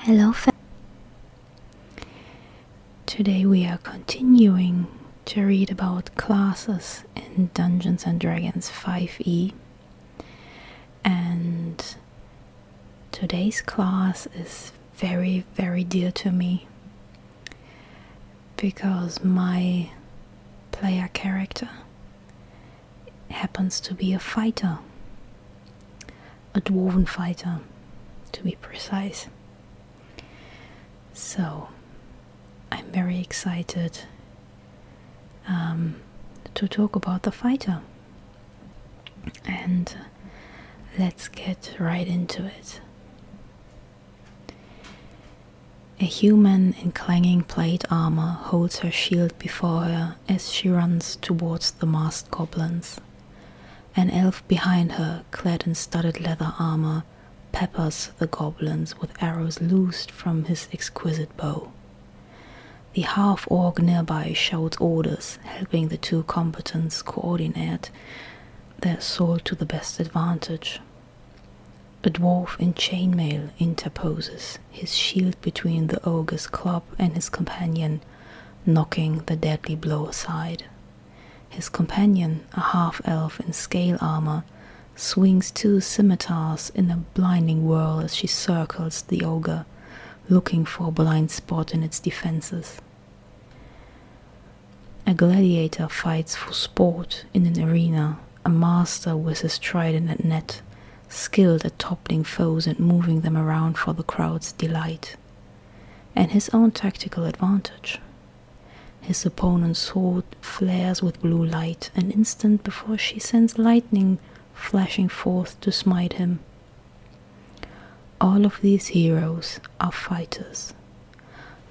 Hello, today we are continuing to read about classes in Dungeons and Dragons 5e, and today's class is very, very dear to me because my player character happens to be a fighter, a dwarven fighter to be precise. So I'm very excited um, to talk about the fighter. And let's get right into it. A human in clanging plate armor holds her shield before her as she runs towards the masked goblins. An elf behind her, clad in studded leather armor, peppers the goblins with arrows loosed from his exquisite bow. The half orc nearby shouts orders, helping the two combatants coordinate their assault to the best advantage. A dwarf in chainmail interposes, his shield between the ogre's club and his companion, knocking the deadly blow aside. His companion, a half elf in scale armor, swings two scimitars in a blinding whirl as she circles the ogre, looking for a blind spot in its defenses. A gladiator fights for sport in an arena, a master whizzes trident at net, skilled at toppling foes and moving them around for the crowd's delight, and his own tactical advantage. His opponent's sword flares with blue light an instant before she sends lightning flashing forth to smite him. All of these heroes are fighters,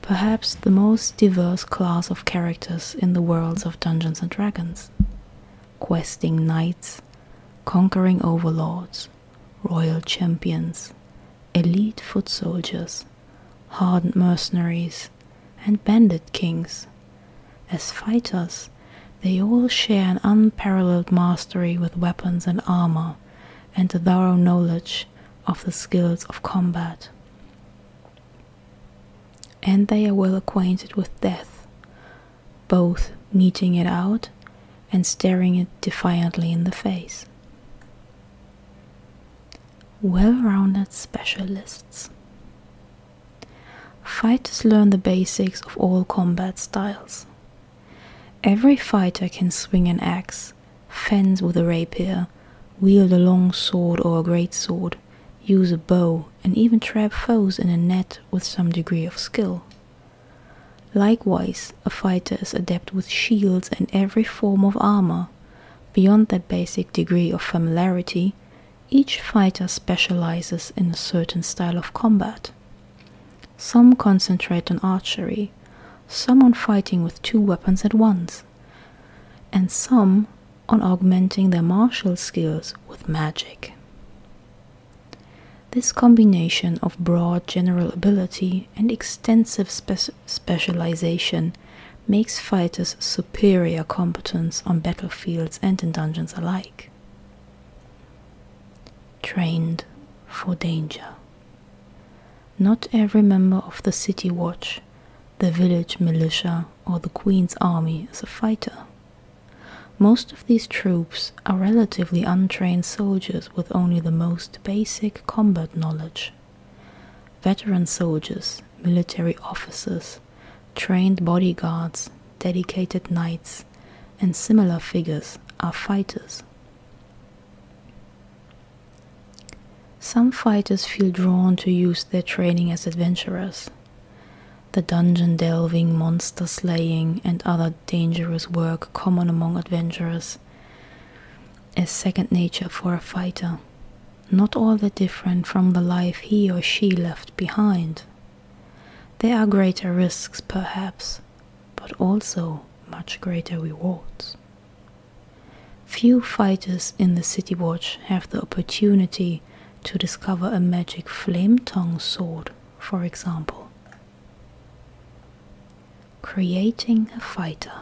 perhaps the most diverse class of characters in the worlds of Dungeons and Dragons questing knights, conquering overlords, royal champions, elite foot soldiers, hardened mercenaries, and banded kings. As fighters, they all share an unparalleled mastery with weapons and armor, and a thorough knowledge of the skills of combat. And they are well acquainted with death, both meeting it out and staring it defiantly in the face. Well rounded specialists. Fighters learn the basics of all combat styles. Every fighter can swing an axe, fence with a rapier, wield a long sword or a great sword, use a bow, and even trap foes in a net with some degree of skill. Likewise, a fighter is adept with shields and every form of armor. Beyond that basic degree of familiarity, each fighter specializes in a certain style of combat. Some concentrate on archery, some on fighting with two weapons at once, and some on augmenting their martial skills with magic. This combination of broad general ability and extensive specialization makes fighters superior combatants on battlefields and in dungeons alike. Trained for danger. Not every member of the City Watch, the village militia, or the Queen's army is a fighter. Most of these troops are relatively untrained soldiers with only the most basic combat knowledge. Veteran soldiers, military officers, trained bodyguards, dedicated knights, and similar figures are fighters. Some fighters feel drawn to use their training as adventurers. The dungeon delving, monster slaying, and other dangerous work common among adventurers is second nature for a fighter, not all that different from the life he or she left behind. There are greater risks, perhaps, but also much greater rewards. Few fighters in the City Watch have the opportunity to discover a magic flame tongue sword for example. Creating a fighter.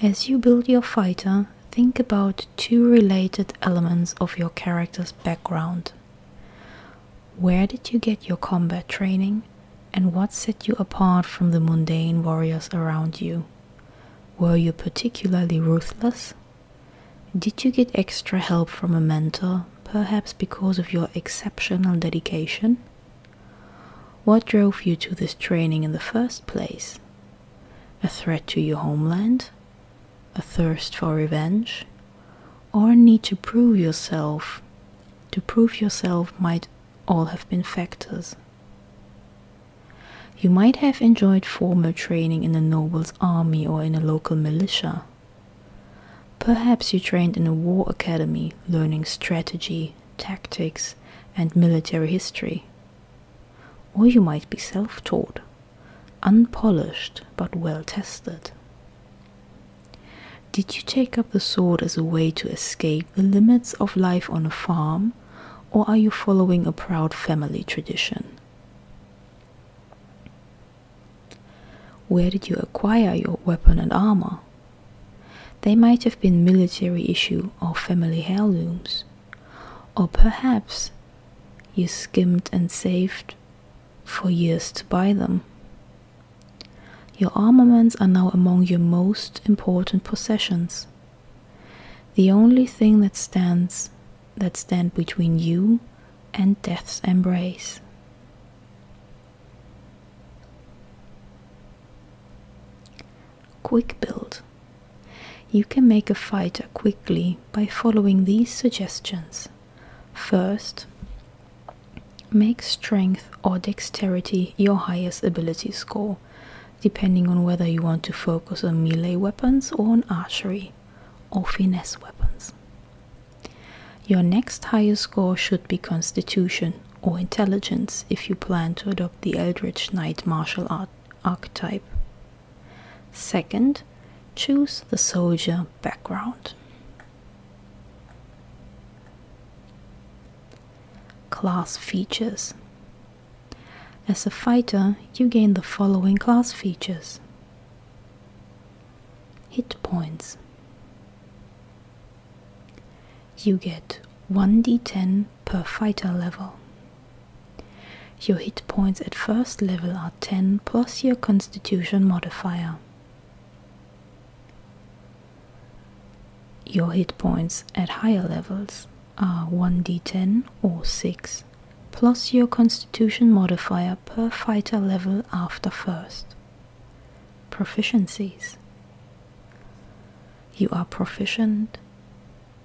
As you build your fighter, think about two related elements of your character's background. Where did you get your combat training, and what set you apart from the mundane warriors around you? Were you particularly ruthless, did you get extra help from a mentor, perhaps because of your exceptional dedication? What drove you to this training in the first place? A threat to your homeland? A thirst for revenge? Or need to prove yourself? To prove yourself might all have been factors. You might have enjoyed formal training in a noble's army or in a local militia, Perhaps you trained in a war academy learning strategy, tactics, and military history. Or you might be self taught, unpolished but well tested. Did you take up the sword as a way to escape the limits of life on a farm, or are you following a proud family tradition? Where did you acquire your weapon and armor? They might have been military issue or family heirlooms. Or perhaps you skimmed and saved for years to buy them. Your armaments are now among your most important possessions. The only thing that stands that stand between you and death's embrace. Quick build. You can make a fighter quickly by following these suggestions. First, make strength or dexterity your highest ability score, depending on whether you want to focus on melee weapons or on archery or finesse weapons. Your next highest score should be Constitution or Intelligence if you plan to adopt the Eldritch Knight martial art archetype. Second, choose the soldier background. Class features. As a fighter, you gain the following class features hit points. You get 1d10 per fighter level. Your hit points at first level are 10 plus your constitution modifier. Your hit points at higher levels are 1d10 or 6 plus your constitution modifier per fighter level after first. Proficiencies. You are proficient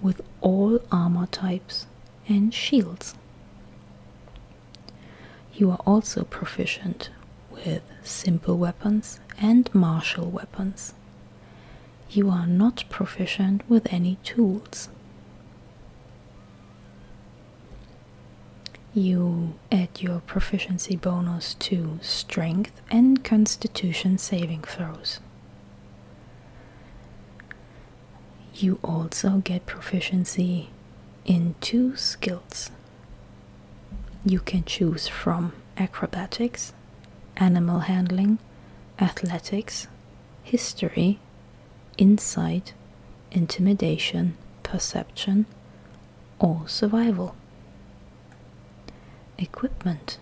with all armor types and shields. You are also proficient with simple weapons and martial weapons. You are not proficient with any tools. You add your proficiency bonus to strength and constitution saving throws. You also get proficiency in two skills. You can choose from acrobatics, animal handling, athletics, history, insight, intimidation, perception, or survival. Equipment.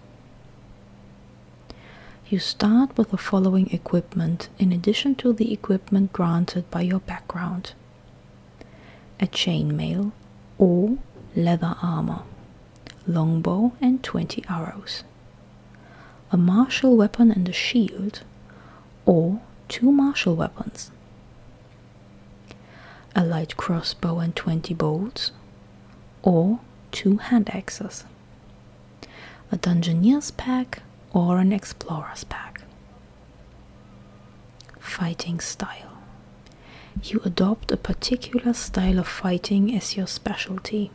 You start with the following equipment in addition to the equipment granted by your background a chainmail or leather armor, longbow, and 20 arrows a martial weapon and a shield, or two martial weapons. A light crossbow and 20 bolts, or two hand axes. A Dungeoneer's pack or an Explorer's pack. Fighting style. You adopt a particular style of fighting as your specialty.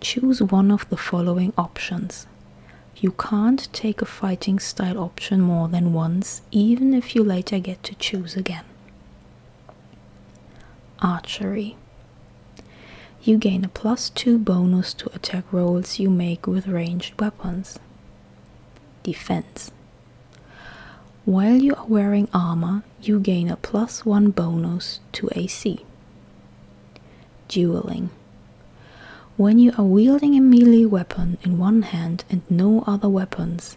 Choose one of the following options you can't take a fighting style option more than once, even if you later get to choose again. Archery. You gain a plus 2 bonus to attack rolls you make with ranged weapons. Defense. While you are wearing armor, you gain a plus 1 bonus to AC. Dueling. When you are wielding a melee weapon in one hand and no other weapons,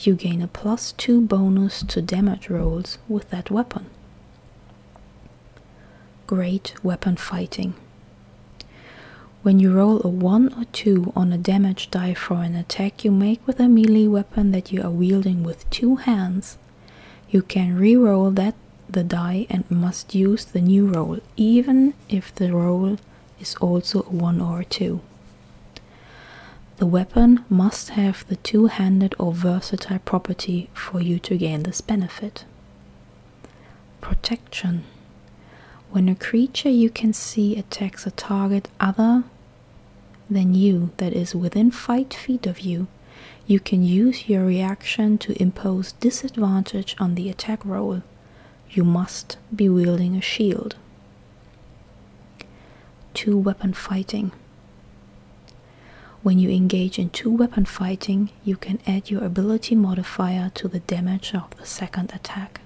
you gain a plus 2 bonus to damage rolls with that weapon. Great weapon fighting. When you roll a 1 or 2 on a damage die for an attack you make with a melee weapon that you are wielding with two hands, you can re roll that the die and must use the new roll, even if the roll is also a 1 or 2. The weapon must have the two handed or versatile property for you to gain this benefit. Protection. When a creature you can see attacks a target other than you that is within 5 feet of you, you can use your reaction to impose disadvantage on the attack roll. You must be wielding a shield. 2 Weapon Fighting When you engage in 2 Weapon Fighting, you can add your ability modifier to the damage of the second attack.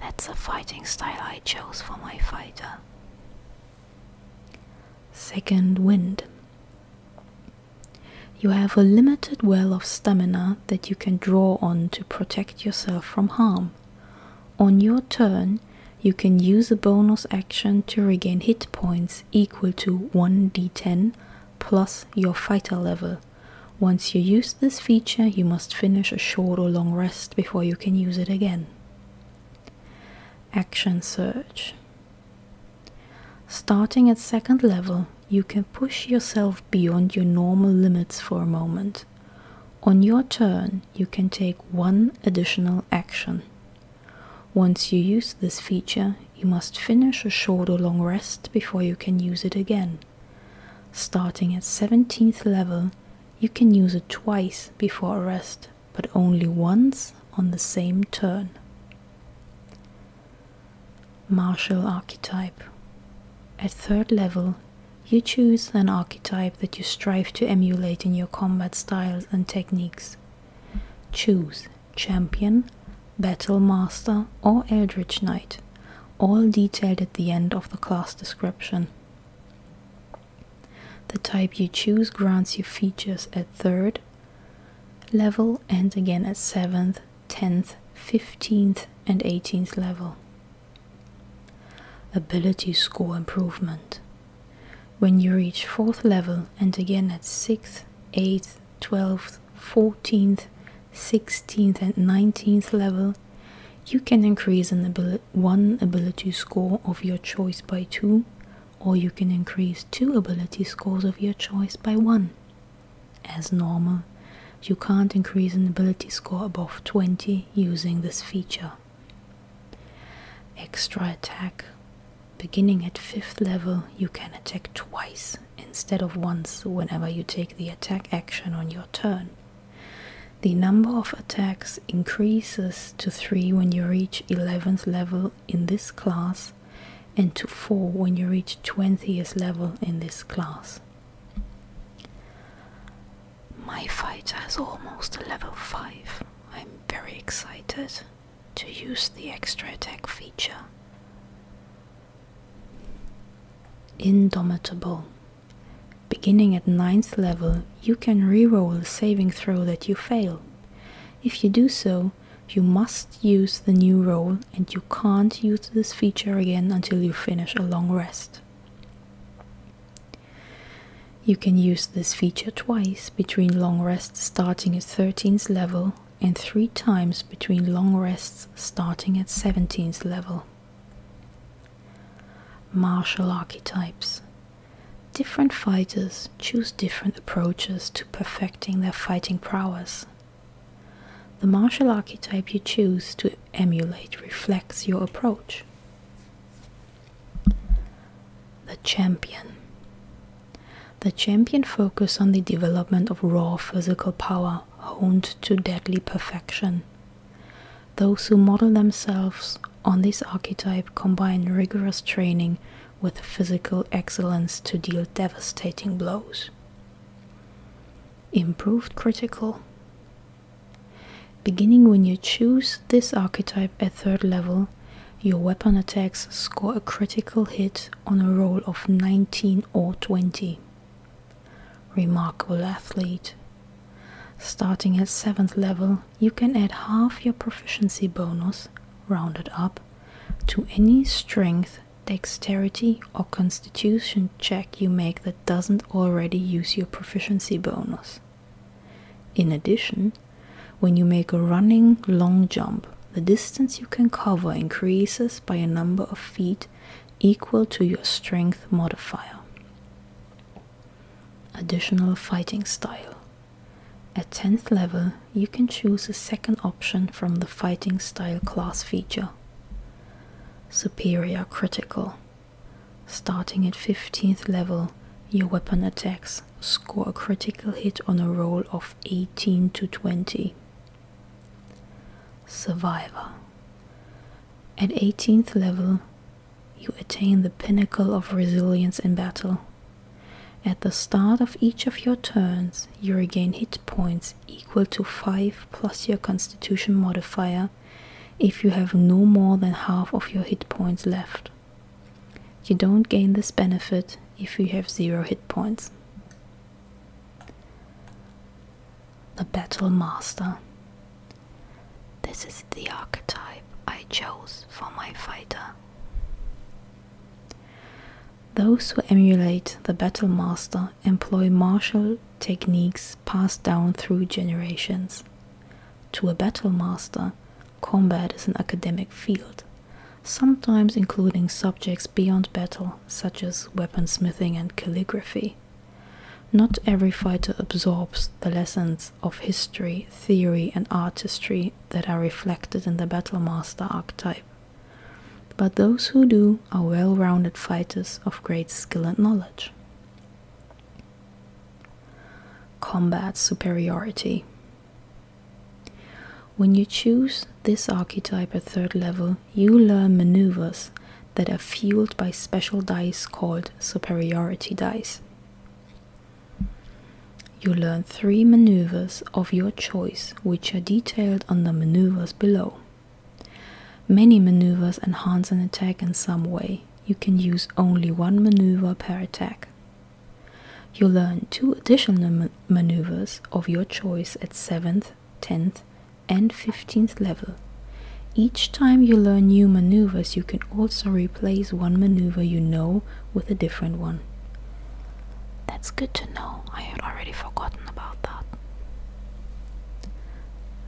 That's the fighting style I chose for my fighter. Second Wind you have a limited well of stamina that you can draw on to protect yourself from harm. On your turn, you can use a bonus action to regain hit points equal to 1d10 plus your fighter level. Once you use this feature, you must finish a short or long rest before you can use it again. Action search. Starting at second level, you can push yourself beyond your normal limits for a moment. On your turn, you can take one additional action. Once you use this feature, you must finish a short or long rest before you can use it again. Starting at 17th level, you can use it twice before a rest, but only once on the same turn martial archetype. At third level, you choose an archetype that you strive to emulate in your combat styles and techniques. Choose Champion, Battle Master, or Eldritch Knight, all detailed at the end of the class description. The type you choose grants you features at third, level and again at 7th, 10th, 15th, and 18th level. Ability score improvement. When you reach 4th level and again at 6th, 8th, 12th, 14th, 16th, and 19th level, you can increase an abil one ability score of your choice by 2 or you can increase two ability scores of your choice by one. As normal, you can't increase an ability score above 20 using this feature. Extra attack. Beginning at 5th level, you can attack twice instead of once whenever you take the attack action on your turn. The number of attacks increases to 3 when you reach 11th level in this class class and to 4 when you reach 20th level in this class. My fighter has almost a level 5. I'm very excited to use the extra attack feature. Indomitable. Beginning at 9th level, you can reroll a saving throw that you fail. If you do so, you. must use the new role, and you can't use this feature again until you finish a long rest. You can use this feature twice between long rests starting at 13th level and three times between long rests starting at 17th level. Martial archetypes. Different fighters choose different approaches to perfecting their fighting prowess. The martial archetype you choose to emulate reflects your approach. The champion. The champion focus on the development of raw physical power honed to deadly perfection. Those who model themselves on this archetype combine rigorous training with physical excellence to deal devastating blows. Improved critical. Beginning when you choose this archetype at third level, your weapon attacks score a critical hit on a roll of 19 or 20. Remarkable athlete. Starting at 7th level, you can add half your proficiency bonus, rounded up, to any strength, dexterity, or constitution check you make that doesn't already use your proficiency bonus. In addition, when you make a running long jump, the distance you can cover increases by a number of feet equal to your strength modifier. Additional fighting style. At 10th level, you can choose a second option from the Fighting Style class feature Superior Critical. Starting at 15th level, your weapon attacks score a critical hit on a roll of 18 to 20. Survivor. At 18th level, you attain the pinnacle of resilience in battle at the start of each of your turns, you regain hit points equal to 5 plus your constitution modifier if you have no more than half of your hit points left. You don't gain this benefit if you have 0 hit points. The Battle Master. This is the archetype I chose for my fighter. Those who emulate the battle master employ martial techniques passed down through generations. To a battle master, combat is an academic field, sometimes including subjects beyond battle, such as weaponsmithing and calligraphy. Not every fighter absorbs the lessons of history, theory, and artistry that are reflected in the battle master archetype. But those who do are well rounded fighters of great skill and knowledge. Combat superiority. When you choose this archetype at third level, you learn maneuvers that are fueled by special dice called superiority dice you learn three maneuvers of your choice, which are detailed under maneuvers below. Many maneuvers enhance an attack in some way. You can use only one maneuver per attack. You learn two additional maneuvers of your choice at 7th, 10th, and 15th level. Each time you learn new maneuvers, you can also replace one maneuver you know with a different one. That's good to know. I had already forgotten about that.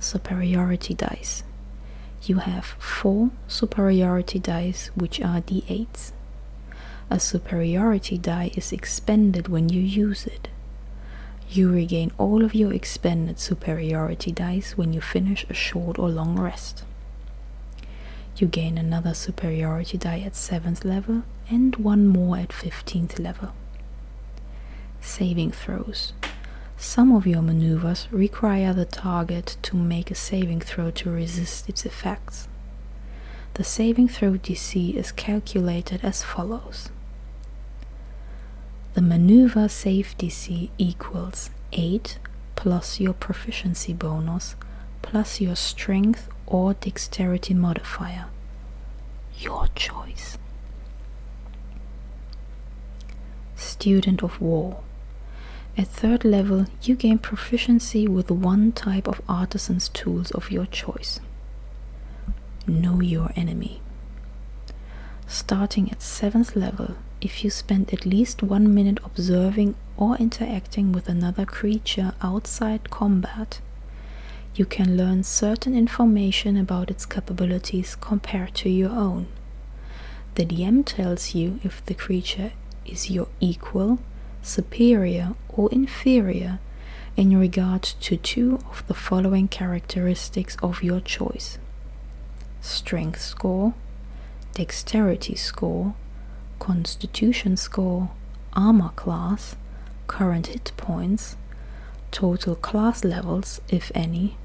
Superiority dice. You have four superiority dice, which are d8s. A superiority die is expended when you use it. You regain all of your expended superiority dice when you finish a short or long rest. You gain another superiority die at 7th level and one more at 15th level. Saving throws. Some of your maneuvers require the target to make a saving throw to resist its effects. The saving throw DC is calculated as follows. The maneuver save DC equals 8 plus your proficiency bonus plus your strength or dexterity modifier. Your choice. Student of War. At third level, you gain proficiency with one type of artisan's tools of your choice. Know your enemy. Starting at seventh level, if you spend at least one minute observing or interacting with another creature outside combat. You can learn certain information about its capabilities compared to your own. The DM tells you if the creature is your equal, superior, or inferior in regard to two of the following characteristics of your choice strength score, dexterity score, constitution score, armor class, current hit points, total class levels, if any,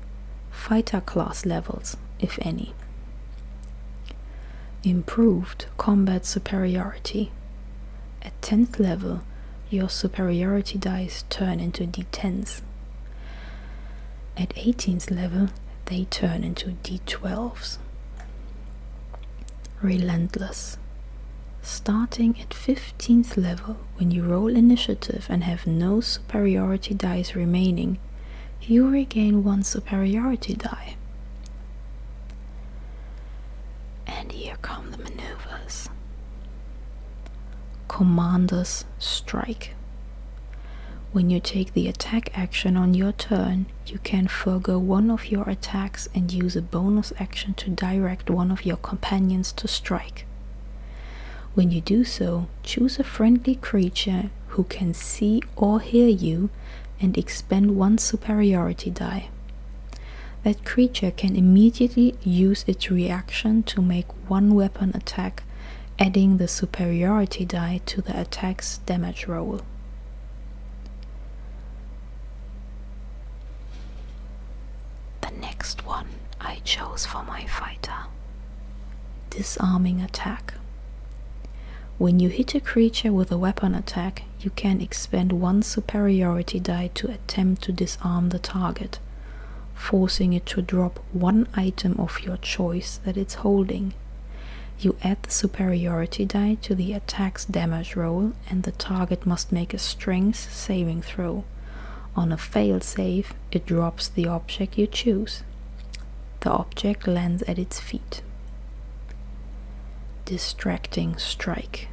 fighter class levels, if any. Improved combat superiority. At 10th level, your superiority dice turn into d10s. At 18th level, they turn into d12s relentless. Starting at 15th level, when you roll initiative and have no superiority dice remaining, you regain one superiority die. And here come the maneuvers. Commander's Strike. When you take the attack action on your turn, you can forego one of your attacks and use a bonus action to direct one of your companions to strike. When you do so, choose a friendly creature who can see or hear you and expend one superiority die. That creature can immediately use its reaction to make one weapon attack, adding the superiority die to the attack's damage roll. The next one I chose for my fighter Disarming Attack. When you hit a creature with a weapon attack, you can expend one superiority die to attempt to disarm the target, forcing it to drop one item of your choice that it's holding. You add the superiority die to the attack's damage roll, and the target must make a strength saving throw. On a failed save, it drops the object you choose. The object lands at its feet. Distracting Strike.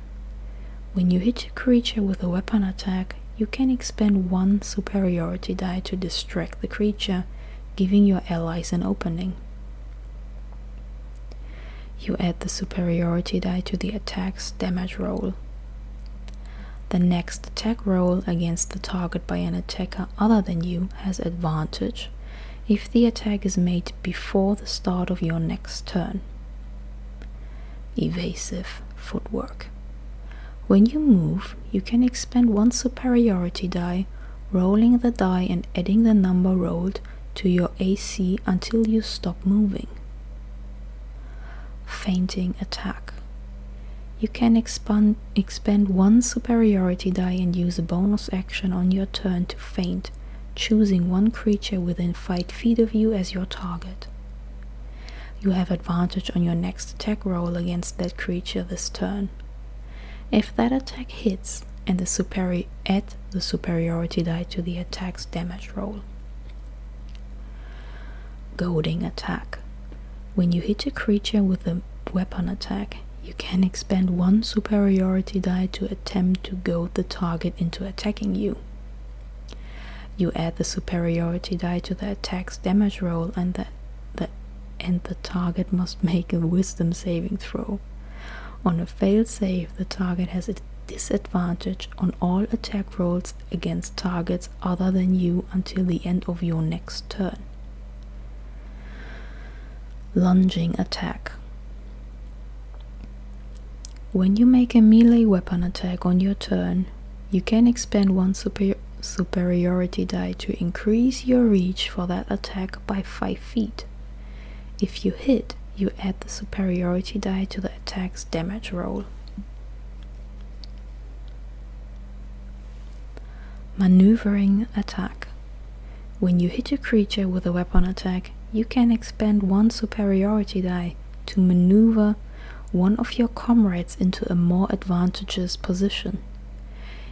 When you hit a creature with a weapon attack, you can expend one superiority die to distract the creature, giving your allies an opening. You add the superiority die to the attack's damage roll. The next attack roll against the target by an attacker other than you has advantage if the attack is made before the start of your next turn. Evasive footwork. When you move, you can expend one superiority die, rolling the die and adding the number rolled to your AC until you stop moving. Fainting attack. You can expand, expend one superiority die and use a bonus action on your turn to faint, choosing one creature within 5 feet of you as your target. You have advantage on your next attack roll against that creature this turn. If that attack hits and the superi- the superiority die to the attack's damage roll. Goading attack. When you hit a creature with a weapon attack, you can expend one superiority die to attempt to goad the target into attacking you. You add the superiority die to the attack's damage roll and the target must make a wisdom saving throw. On a failsafe, the target has a disadvantage on all attack rolls against targets other than you until the end of your next turn. Lunging attack. When you make a melee weapon attack on your turn, you can expend one superiority die to increase your reach for that attack by 5 feet. If you hit, you add the superiority die to the attack's damage roll. Maneuvering attack. When you hit a creature with a weapon attack, you can expend one superiority die to maneuver one of your comrades into a more advantageous position.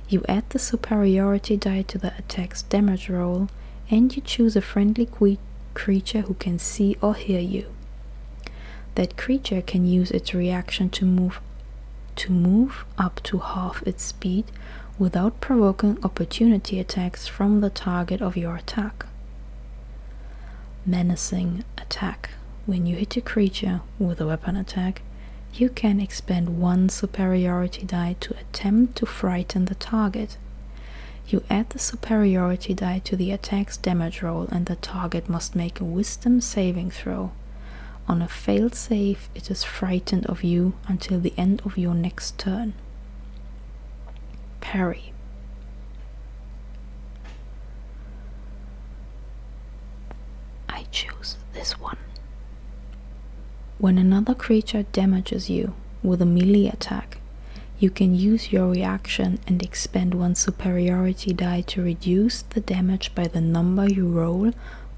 You add the superiority die to the attack's damage roll and you choose a friendly creature who can see or hear you. That creature can use its reaction to move to move up to half its speed without provoking opportunity attacks from the target of your attack. Menacing attack. When you hit a creature with a weapon attack, you can expend one superiority die to attempt to frighten the target. You add the superiority die to the attack's damage roll, and the target must make a wisdom saving throw. On a failed save, it is frightened of you until the end of your next turn. Parry. I choose this one. When another creature damages you with a melee attack, you can use your reaction and expend one superiority die to reduce the damage by the number you roll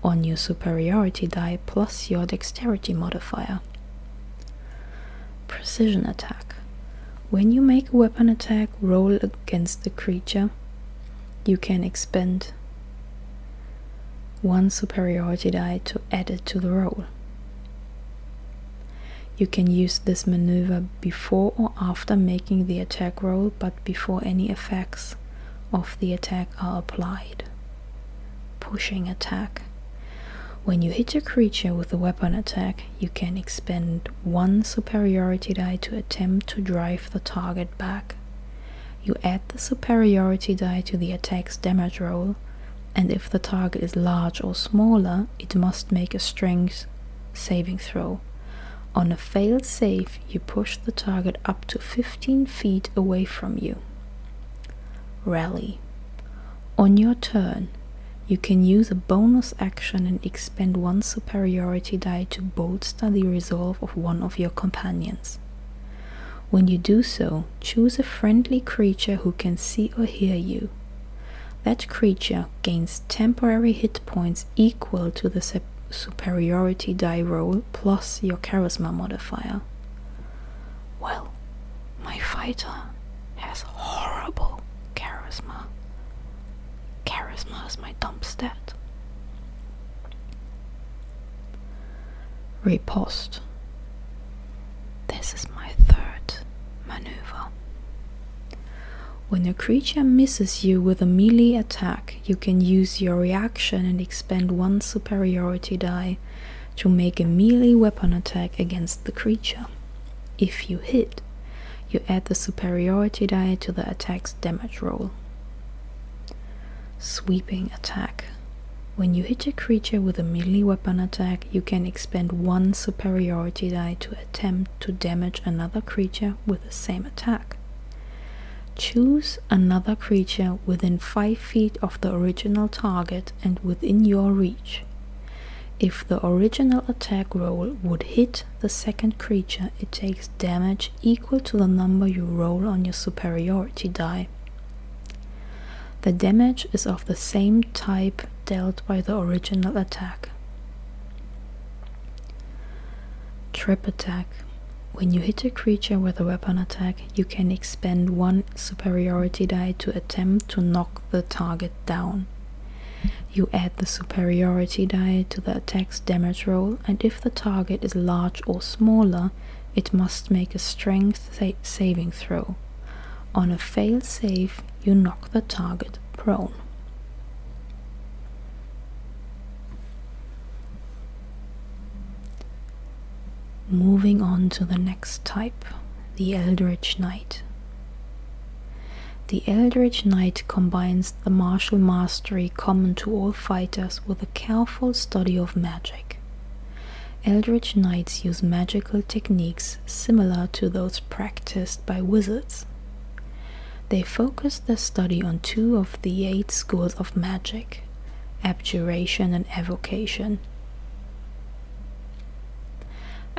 on your superiority die plus your dexterity modifier. Precision attack. When you make a weapon attack roll against the creature, you can expend one superiority die to add it to the roll. You can use this maneuver before or after making the attack roll, but before any effects of the attack are applied. Pushing attack. When you hit a creature with a weapon attack, you can expend one superiority die to attempt to drive the target back you add the superiority die to the attack's damage roll, and if the target is large or smaller, it must make a strength saving throw. On a failed save, you push the target up to 15 feet away from you. Rally. On your turn, you can use a bonus action and expend one superiority die to bolster the resolve of one of your companions. When you do so, choose a friendly creature who can see or hear you. That creature gains temporary hit points equal to the superiority die roll plus your charisma modifier. Well, my fighter has horrible charisma. Charisma is my dump stat. Riposte. This is my third maneuver. When a creature misses you with a melee attack, you can use your reaction and expend one superiority die to make a melee weapon attack against the creature. If you hit, you add the superiority die to the attack's damage roll. Sweeping attack. When you hit a creature with a melee weapon attack, you can expend one superiority die to attempt to damage another creature with the same attack. Choose another creature within 5 feet of the original target and within your reach. If the original attack roll would hit the second creature, it takes damage equal to the number you roll on your superiority die. The damage is of the same type dealt by the original attack. Trip attack. When you hit a creature with a weapon attack, you can expend one superiority die to attempt to knock the target down. You add the superiority die to the attack's damage roll, and if the target is large or smaller, it must make a strength saving throw. On a failed save, you knock the target prone. Moving on to the next type, the Eldritch Knight. The Eldritch Knight combines the martial mastery common to all fighters with a careful study of magic. Eldritch Knights use magical techniques similar to those practiced by wizards. They focus their study on two of the eight schools of magic abjuration and evocation.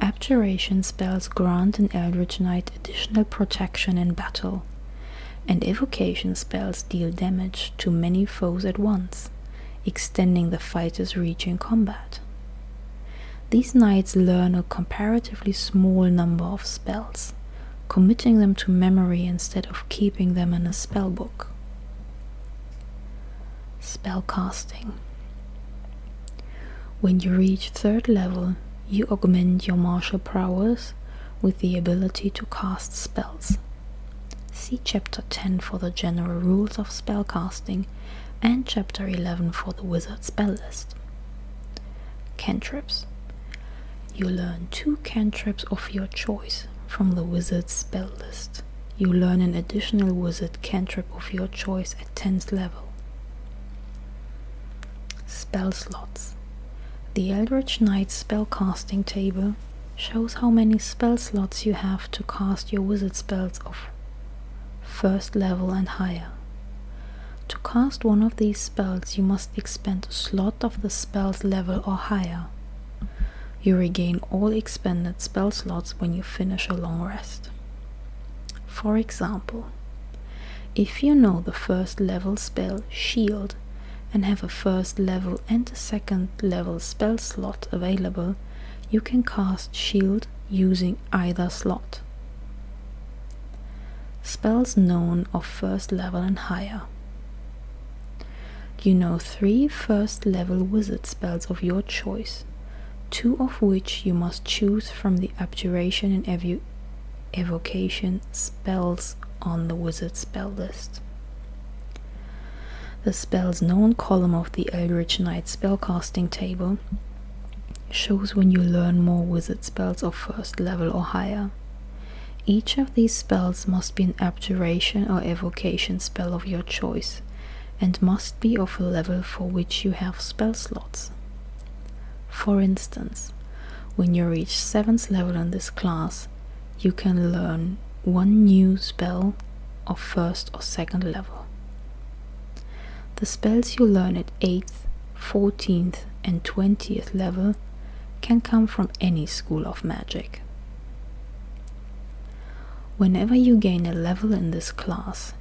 Abjuration spells grant an Eldritch Knight additional protection in battle, and evocation spells deal damage to many foes at once, extending the fighter's reach in combat. These knights learn a comparatively small number of spells, committing them to memory instead of keeping them in a spellbook. casting. When you reach third level, you augment your martial prowess with the ability to cast spells See Chapter 10 for the general rules of spellcasting and Chapter 11 for the wizard spell list. Cantrips. You learn two cantrips of your choice from the wizard's spell list. You learn an additional wizard cantrip of your choice at 10th level. Spell slots. The Eldritch Knight's spellcasting table shows how many spell slots you have to cast your wizard spells of first level and higher. To cast one of these spells, you must expend a slot of the spell's level or higher. You regain all expended spell slots when you finish a long rest. For example, if you know the first level spell Shield and have a first level and the second level spell slot available, you can cast Shield using either slot. Spells known of first level and higher. You know three first level wizard spells of your choice, two of which you must choose from the abjuration and evocation spells on the wizard spell list. The spell's known column of the Eldritch Knight spellcasting table shows when you learn more wizard spells of first level or higher. Each of these spells must be an abjuration or evocation spell of your choice and must be of a level for which you have spell slots. For instance, when you reach 7th level in this class, you can learn one new spell of first or second level. The spells you learn at 8th, 14th, and 20th level can come from any school of magic. Whenever you gain a level in this class,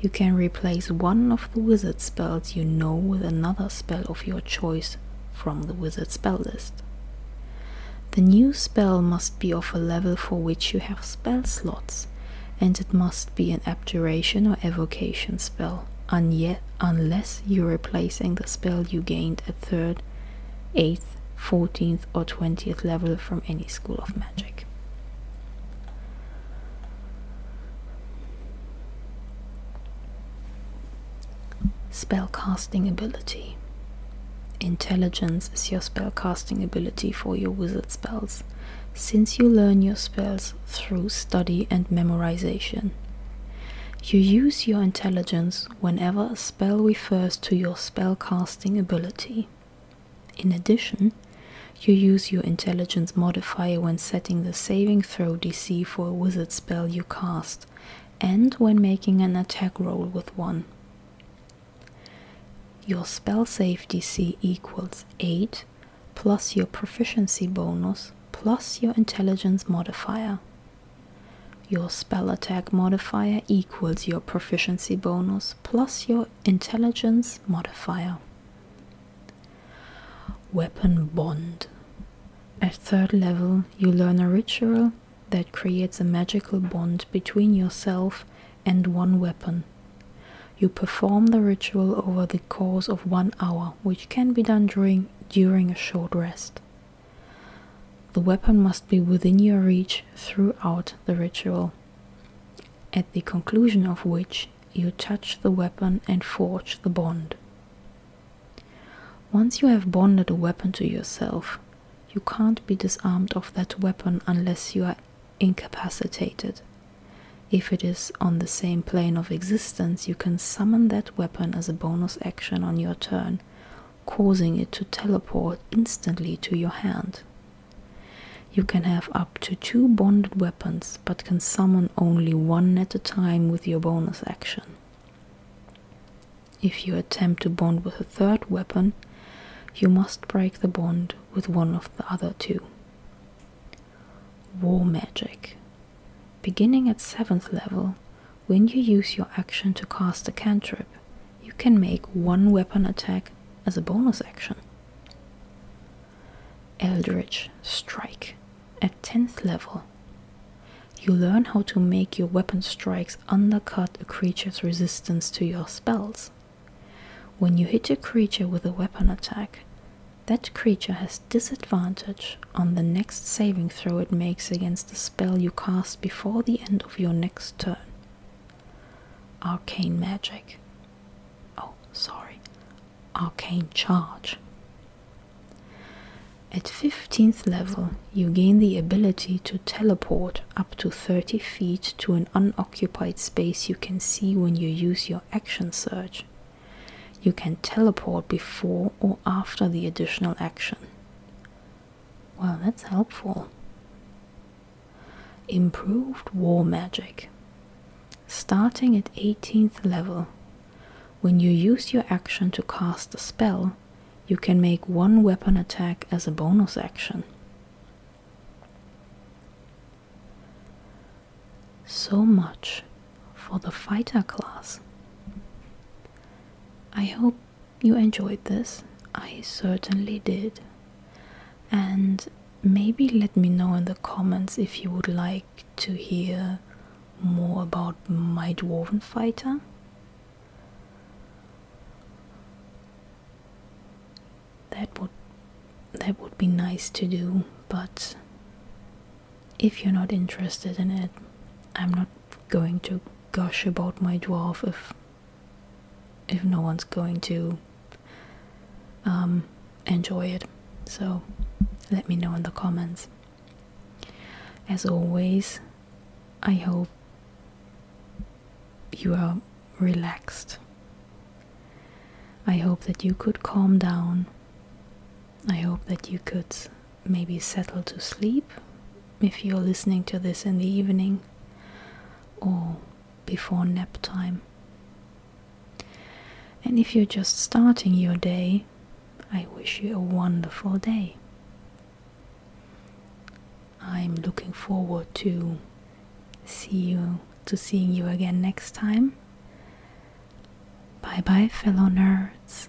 you can replace one of the wizard spells you know with another spell of your choice from the wizard spell list. The new spell must be of a level for which you have spell slots, and it must be an abjuration or evocation spell, And yet, unless you're replacing the spell you gained at 3rd, 8th, 14th, or 20th level from any school of magic. Spellcasting ability. Intelligence is your spellcasting ability for your wizard spells, since you learn your spells through study and memorization. You use your intelligence whenever a spell refers to your spellcasting ability. In addition, you use your intelligence modifier when setting the saving throw DC for a wizard spell you cast and when making an attack roll with one. Your spell save DC equals 8 plus your proficiency bonus plus your intelligence modifier. Your spell attack modifier equals your proficiency bonus plus your intelligence modifier. Weapon Bond. At third level, you learn a ritual that creates a magical bond between yourself and one weapon. You perform the ritual over the course of one hour, which can be done during, during a short rest. The weapon must be within your reach throughout the ritual, at the conclusion of which you touch the weapon and forge the bond. Once you have bonded a weapon to yourself, you can't be disarmed of that weapon unless you are incapacitated. If it is on the same plane of existence, you can summon that weapon as a bonus action on your turn, causing it to teleport instantly to your hand. You can have up to two bonded weapons, but can summon only one at a time with your bonus action. If you attempt to bond with a third weapon, you must break the bond with one of the other two. War Magic. Beginning at 7th level, when you use your action to cast a cantrip, you can make one weapon attack as a bonus action. Eldritch Strike. At 10th level, you learn how to make your weapon strikes undercut a creature's resistance to your spells. When you hit a creature with a weapon attack, that creature has disadvantage on the next saving throw it makes against the spell you cast before the end of your next turn. Arcane Magic. Oh, sorry. Arcane Charge. At 15th level, you gain the ability to teleport up to 30 feet to an unoccupied space you can see when you use your action search. You can teleport before or after the additional action. Well, that's helpful. Improved War Magic. Starting at 18th level, when you use your action to cast a spell, you can make one weapon attack as a bonus action. So much for the fighter class. I hope you enjoyed this. I certainly did. And maybe let me know in the comments if you would like to hear more about my dwarven fighter that would that would be nice to do, but if you're not interested in it, I'm not going to gush about my dwarf if if no one's going to um, enjoy it. So let me know in the comments. As always, I hope you are relaxed. I hope that you could calm down. I hope that you could maybe settle to sleep if you're listening to this in the evening or before nap time. And if you're just starting your day, I wish you a wonderful day. I'm looking forward to see you to seeing you again next time. Bye bye fellow nerds.